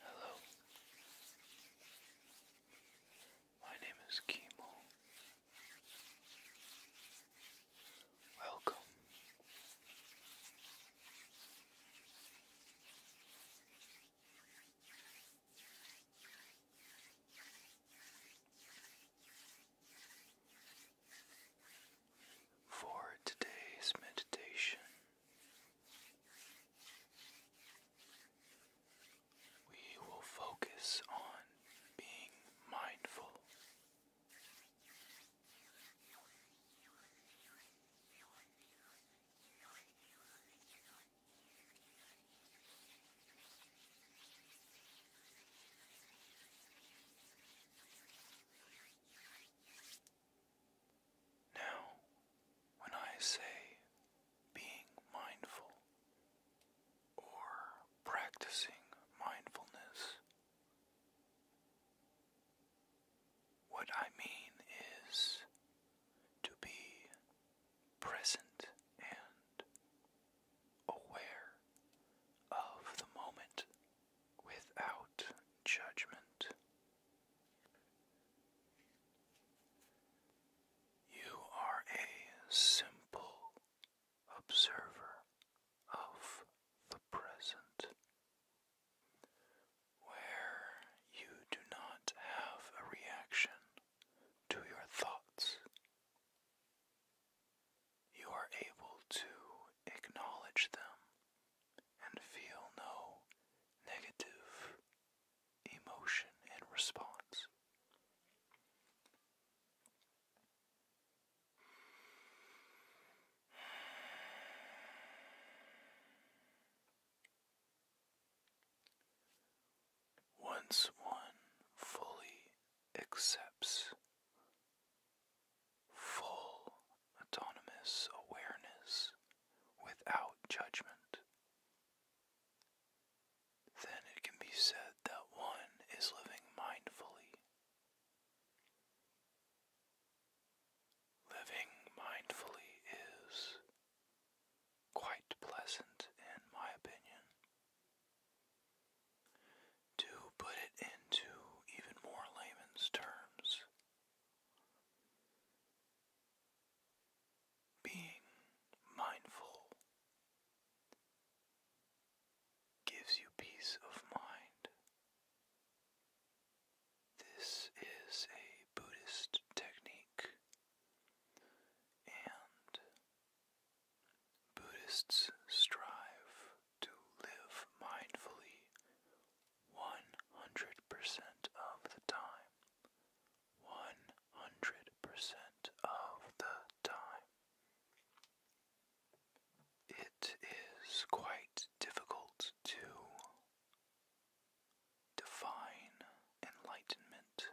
Hello, my name is Kimo. Welcome. For today's meditation, we will focus on being mindful now, when I say being mindful or practicing mindfulness, what I mean is to be present and aware of the moment without judgment. You are a simple observer of the present, where you do not have a reaction to your thoughts. You are able to acknowledge them and feel no negative emotion in response. Once one fully accepts full autonomous awareness without judgment, then it can be said that one is living mindfully Living mindfully is quite pleasant, in my opinion. To put it into even more layman's terms, being mindful gives you peace of mind. This is a Buddhist technique, and Buddhists strive to live mindfully 100% of the time. 100% of the time. It is quite difficult to define enlightenment.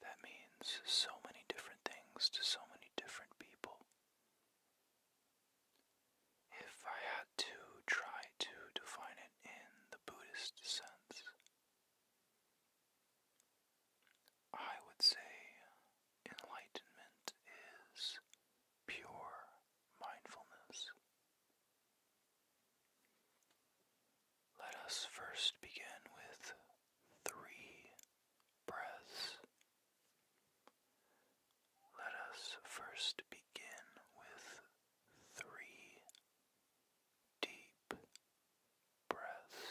That means so many different things to so many different people. If I had to try to define it in the Buddhist sense, I would say enlightenment is pure mindfulness. Let us first begin with three breaths. Let us first begin with three deep breaths.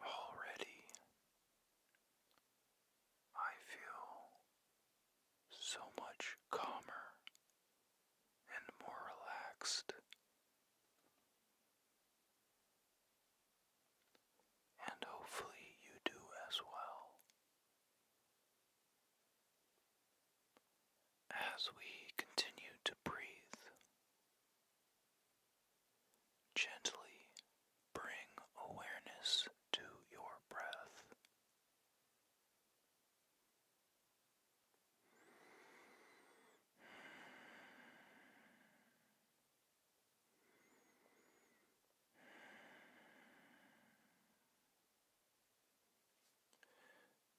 Already, I feel so much calmer and more relaxed. And hopefully you do as well. As we continue to breathe, gently bring awareness to your breath.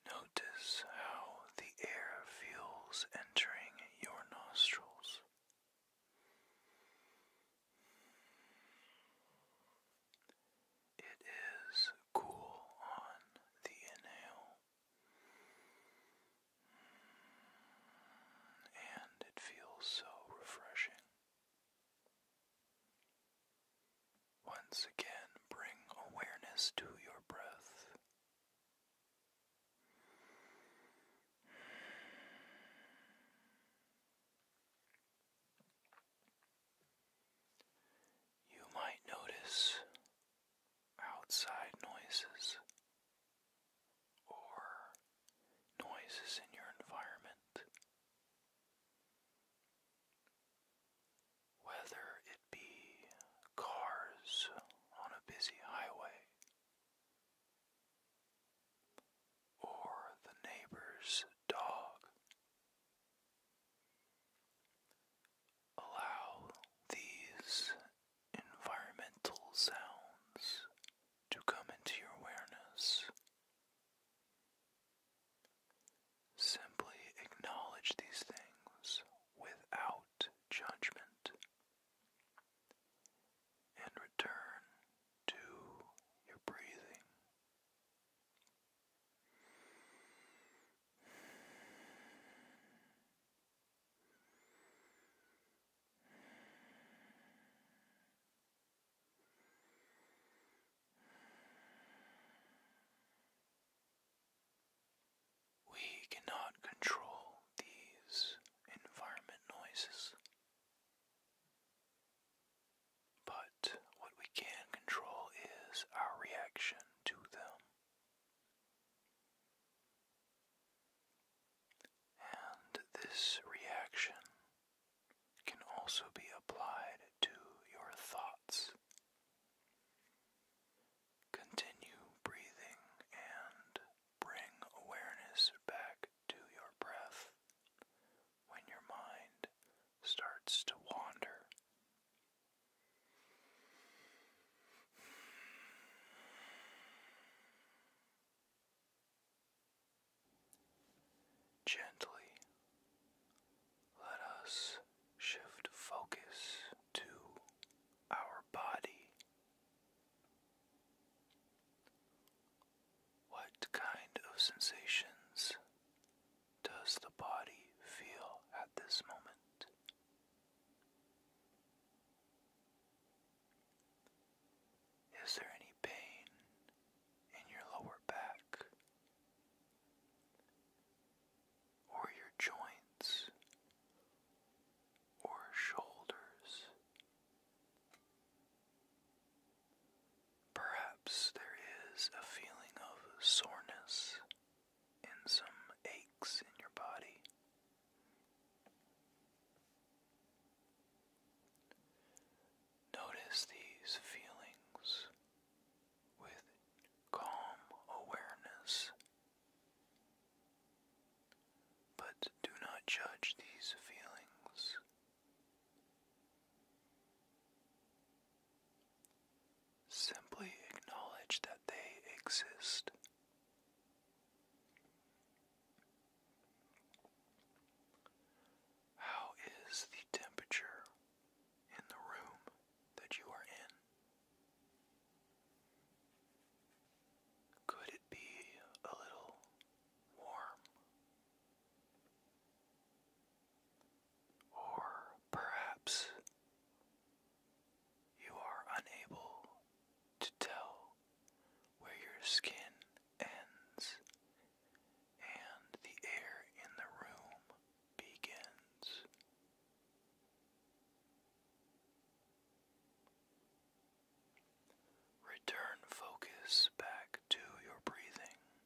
Notice how the air feels entering your nostrils. It is cool on the inhale, and it feels so refreshing. Once again, bring awareness to your breath. You might notice outside noises or noises in your environment, whether it be cars on a busy highway or the neighbor's dog Allow these environmental sounds to come into your awareness. Simply acknowledge these things without judgment and return to your breathing. We cannot control these environment noises. But what we can control is our reaction to them. And this reaction can also be applied to your thoughts. Continue breathing and bring awareness back to your breath when your mind starts to wander. Gently let us shift focus to our body. What kind of sensations does the body feel at this moment? Is there any pain in your lower back or your joints or shoulders Perhaps there is a feeling of soreness and some aches in your body. Notice these feelings with calm awareness, but do not judge these feelings Simply acknowledge that they exist. How is the temperature in the room that you are in? Could it be a little warm? Or perhaps you are unable to tell where your skin ends and the air in the room begins. Return focus back to your breathing.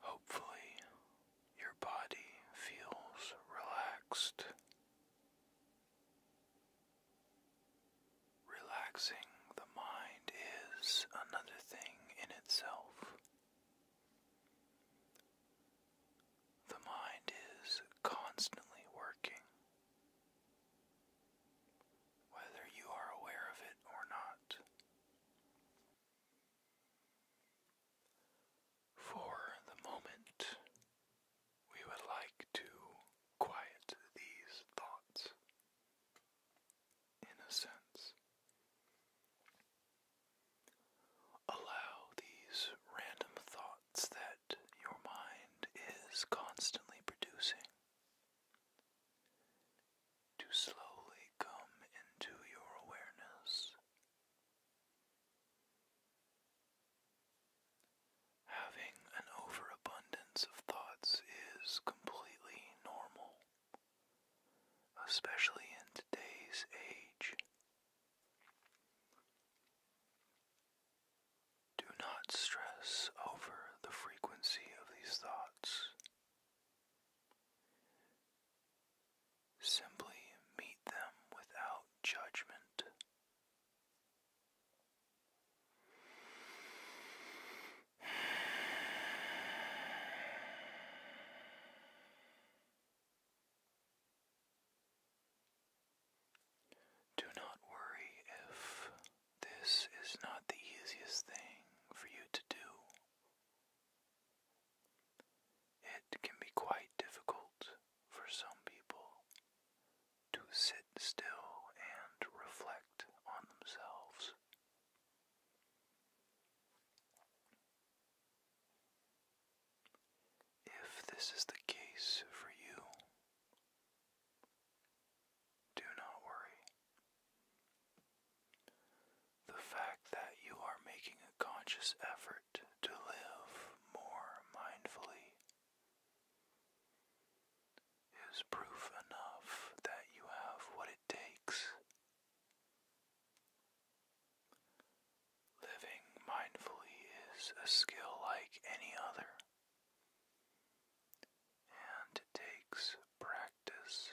Hopefully, your body feels relaxed. Relaxing the mind is another thing in itself. The mind is constantly working, whether you are aware of it or not. For the moment, we would like to quiet these thoughts, in a sense. Allow these random thoughts that your mind is constantly producing to slowly come into your awareness. Having an overabundance of thoughts is completely normal, especially in today's age. Do not stress over the frequency of these thoughts. Simply meet them without judgment. Do not worry if this is not the easiest thing for you to do. It can be quite difficult for some people to sit still and reflect on themselves. If this is the case for you, do not worry. The fact that you are making a conscious effort to live more mindfully is proof enough that you have what it takes. Living mindfully is a skill like any other, and it takes practice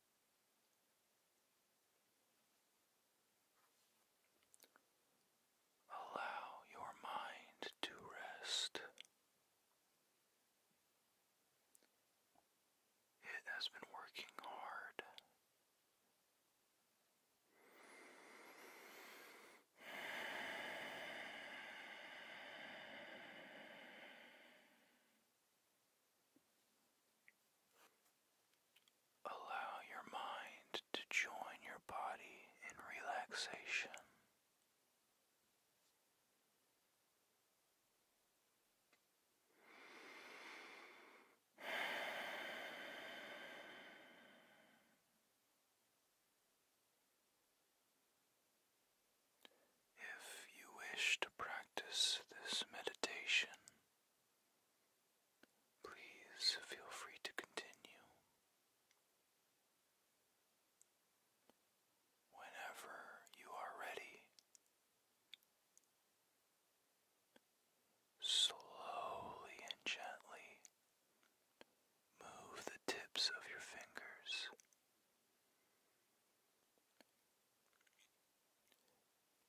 Allow your mind to rest. It has been working hard. Allow your mind to join your body in relaxation. If you wish to practice this meditation, please feel free to continue. Whenever you are ready, slowly and gently move the tips of your fingers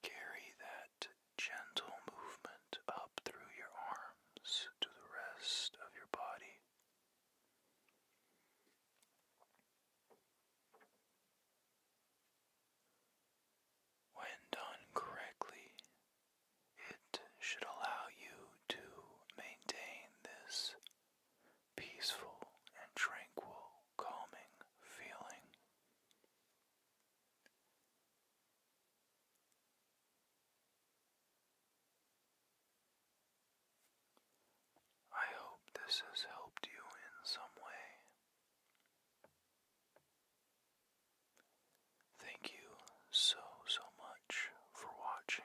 Carry that gentle movement up through your arms to the rest of your body. When done correctly, it should allow you to maintain this peaceful and tranquil, calming feeling. I hope this has helped you in some way. Thank you so, so much for watching.